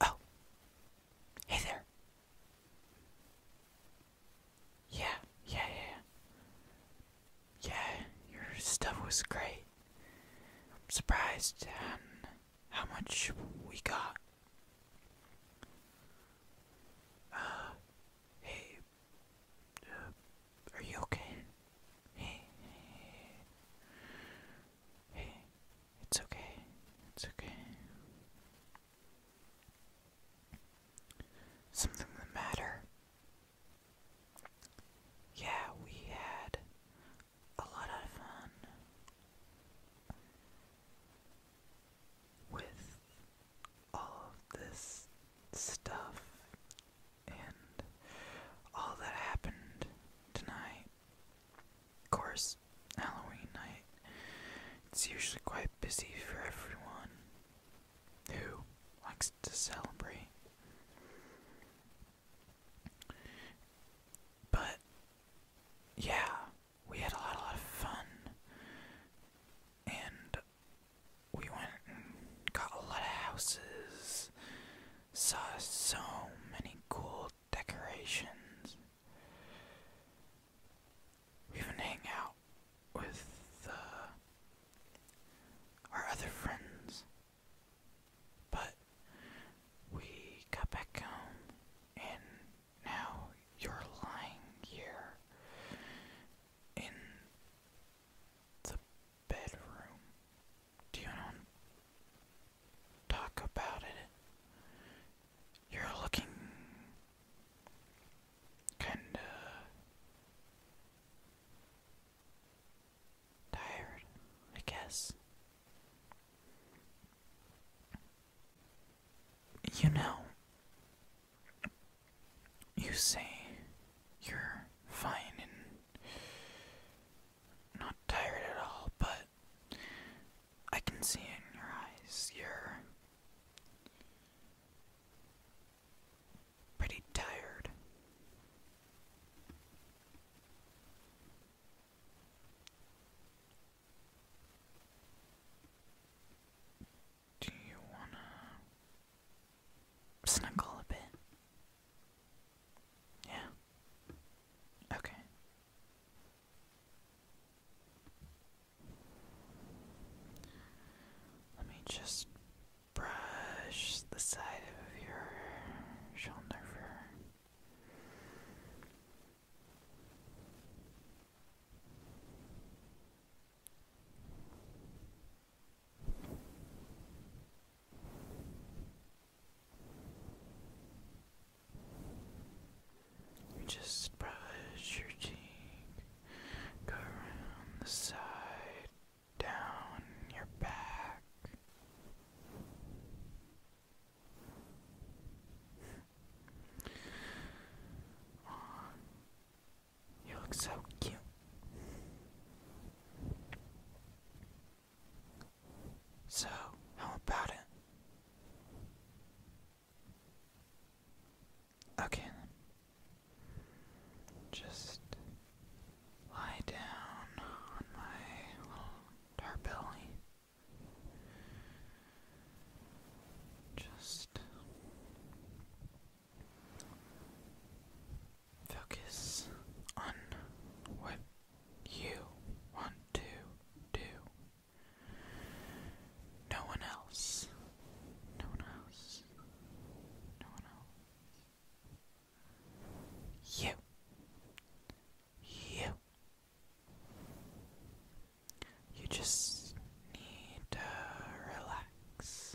Oh. Hey there. Yeah, yeah, yeah. your stuff was great. I'm surprised um, how much we got. Uh, hey, uh, are you okay? Hey, it's okay. It's okay. Something the matter? Yeah, we had a lot of fun with all of this stuff and all that happened tonight. Of course, Halloween night. It's usually quite busy for everyone who likes to celebrate. But, yeah, we had a lot, a lot of fun. And we went and got a lot of houses saw so many cool decorations. We even hang out with uh, our other friends, but we got back home, and now you're lying here in the bedroom. Do you want to talk about it? You're looking kinda tired, I guess. You know, you say you're fine and not tired at all, but I can see in your eyes. You're pretty tired. Do you wanna snuggle a bit? Yeah. Okay. Let me just brush the side of your shoulder you just brush your cheek, go around the side, down your back. you look so cute so, how about it? Okay, just lie down on my little tarpelli. Just Focus on what you want to do. No one else. No one else. No one else. You. You. You just need to relax.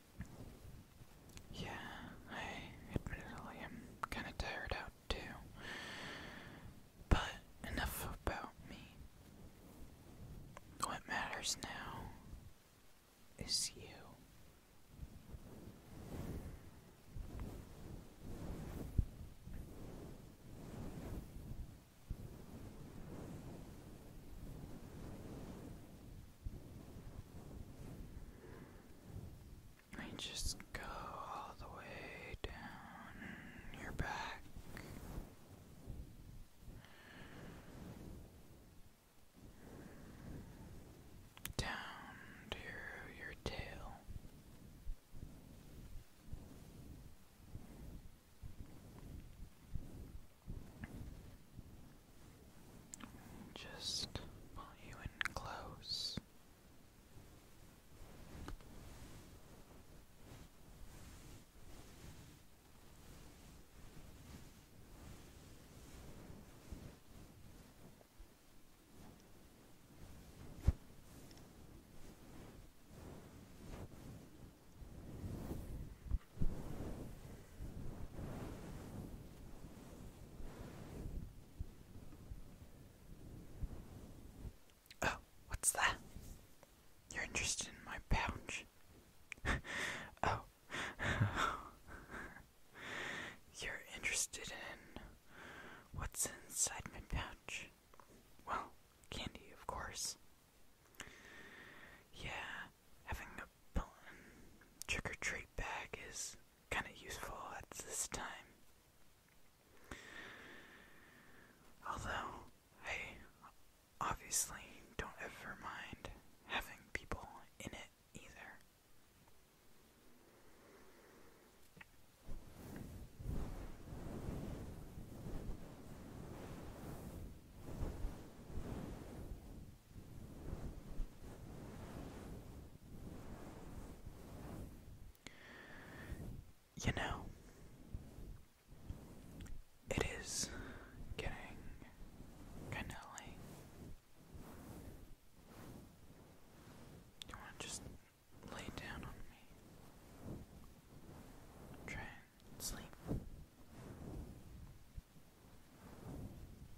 Yeah, I admittedly am kind of tired out too. But enough about me. What matters now is you. I just go all the way down your back. Down to your tail. Just pull you in close. Oh, what's that? You're interested in my pouch. oh. You're interested in what's inside my pouch? Well, candy, of course. Yeah, having a trick or treat bag is kind of useful at this time. Although, I obviously don't ever mind having people in it either. You know, it is getting kinda late. You wanna just lay down on me? Try and sleep.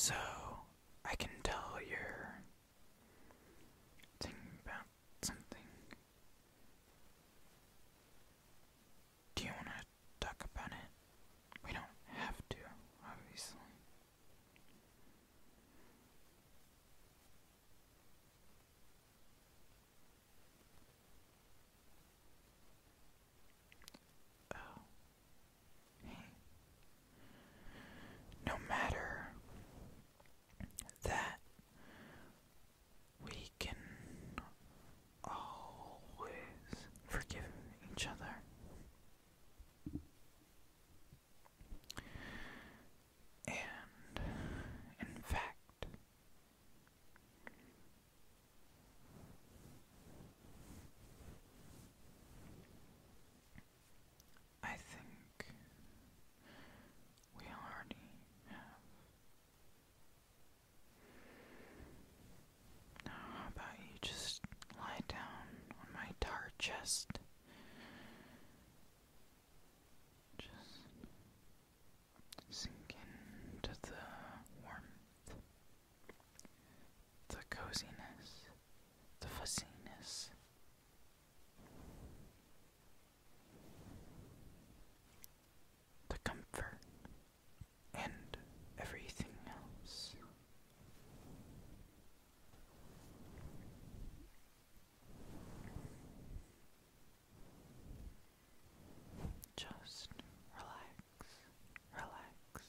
So, I can tell you're Thinking about something. Do you want to talk about it? We don't have to, obviously. Oh, no matter that, we can always forgive each other. And in fact, I think we already have. Now, how about you just lie down on my tar chest? Just sink into the warmth, the coziness the fussiness. The comfort and everything else. Just relax, relax,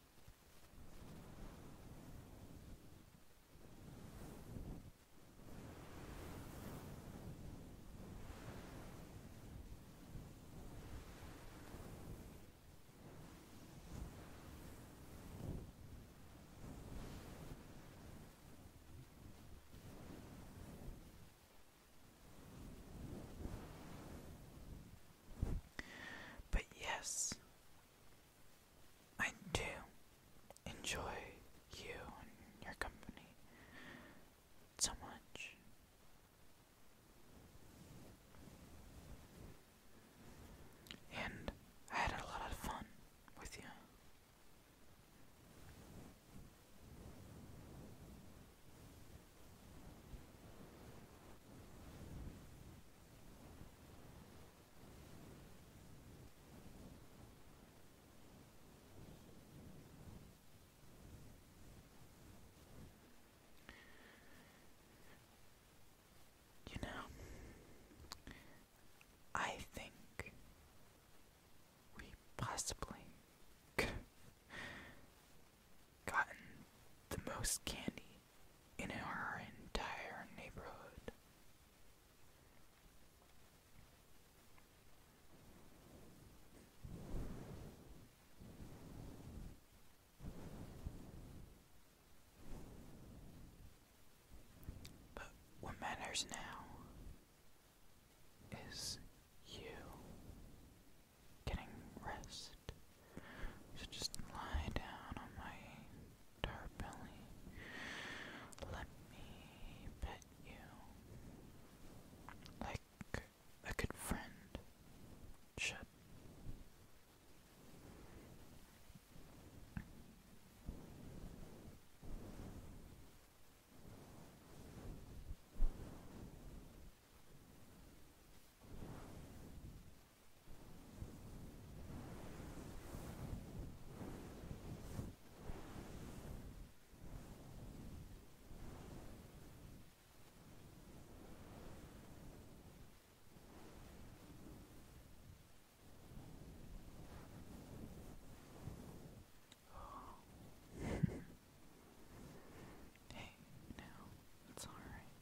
But yes, I do enjoy you and your company so much. And I had a lot of fun with you. You know, I think we possibly gotten the most candy in our entire neighborhood. But what matters now is you getting rest. So just lie down on my dark belly. Let me pet you. Like a good friend should. hey, now it's all right.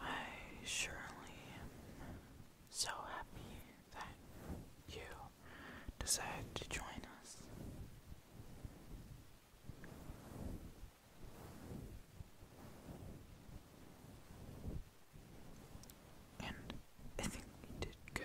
I surely am so happy that you decided to join us. And I think we did good.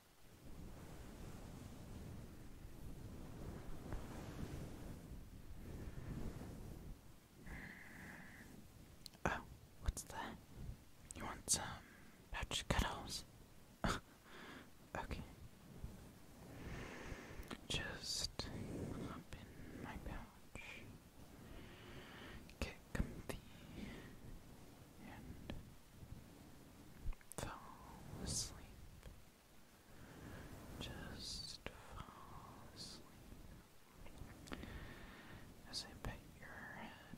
Oh, what's that? You want some pouch cuddles? okay. Just hop my pouch. Get comfy and Fall asleep. Just fall asleep as I pet your head.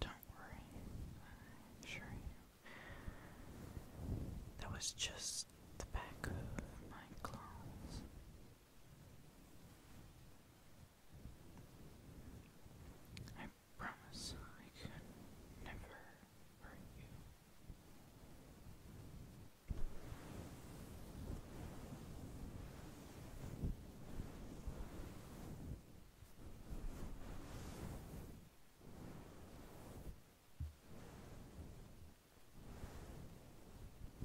Don't worry, I you. That was just the back of my clothes. I promise I could never hurt you. Yes,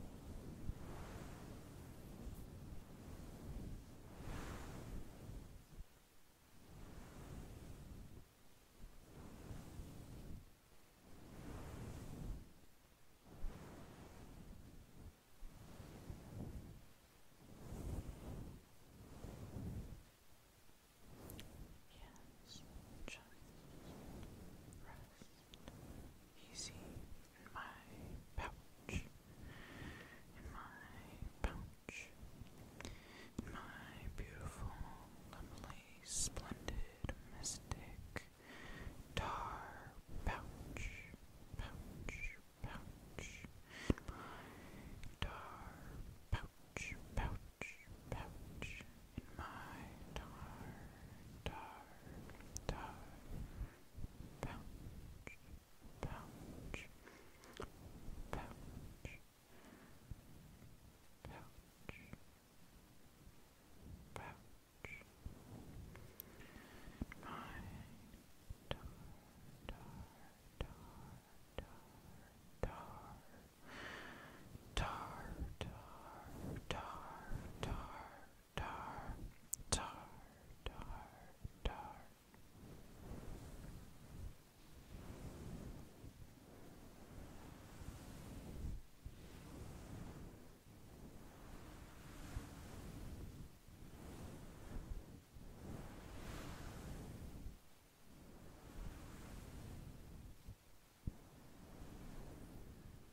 just rest easy in my pouch, in my pouch, in my beautiful, lovely, splendid, mystic, tar pouch, pouch, pouch, in tar pouch, pouch, pouch, in my tar, tar, tar pouch, pouch, pouch, pouch, pouch. My dar, dar, dar, dar, dar, dar, dar, dar, dar tar, tar, tar, tar.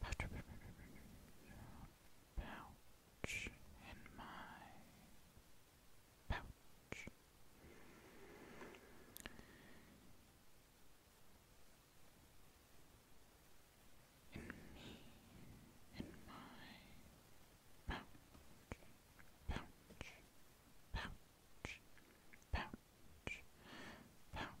pouch in my pouch. In me, in my pouch, pouch, pouch, pouch, pouch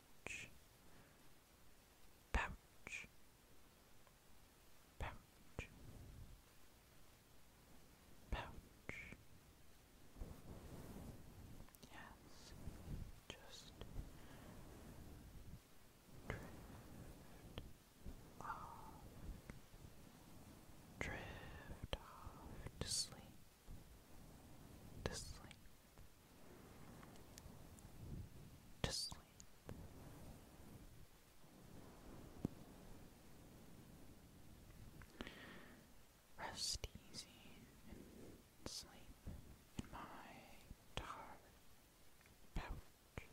pouch, pouch, pouch, Yes, just drift off, drift off to sleep to sleep, to sleep. Rest easy and sleep in my tar pouch.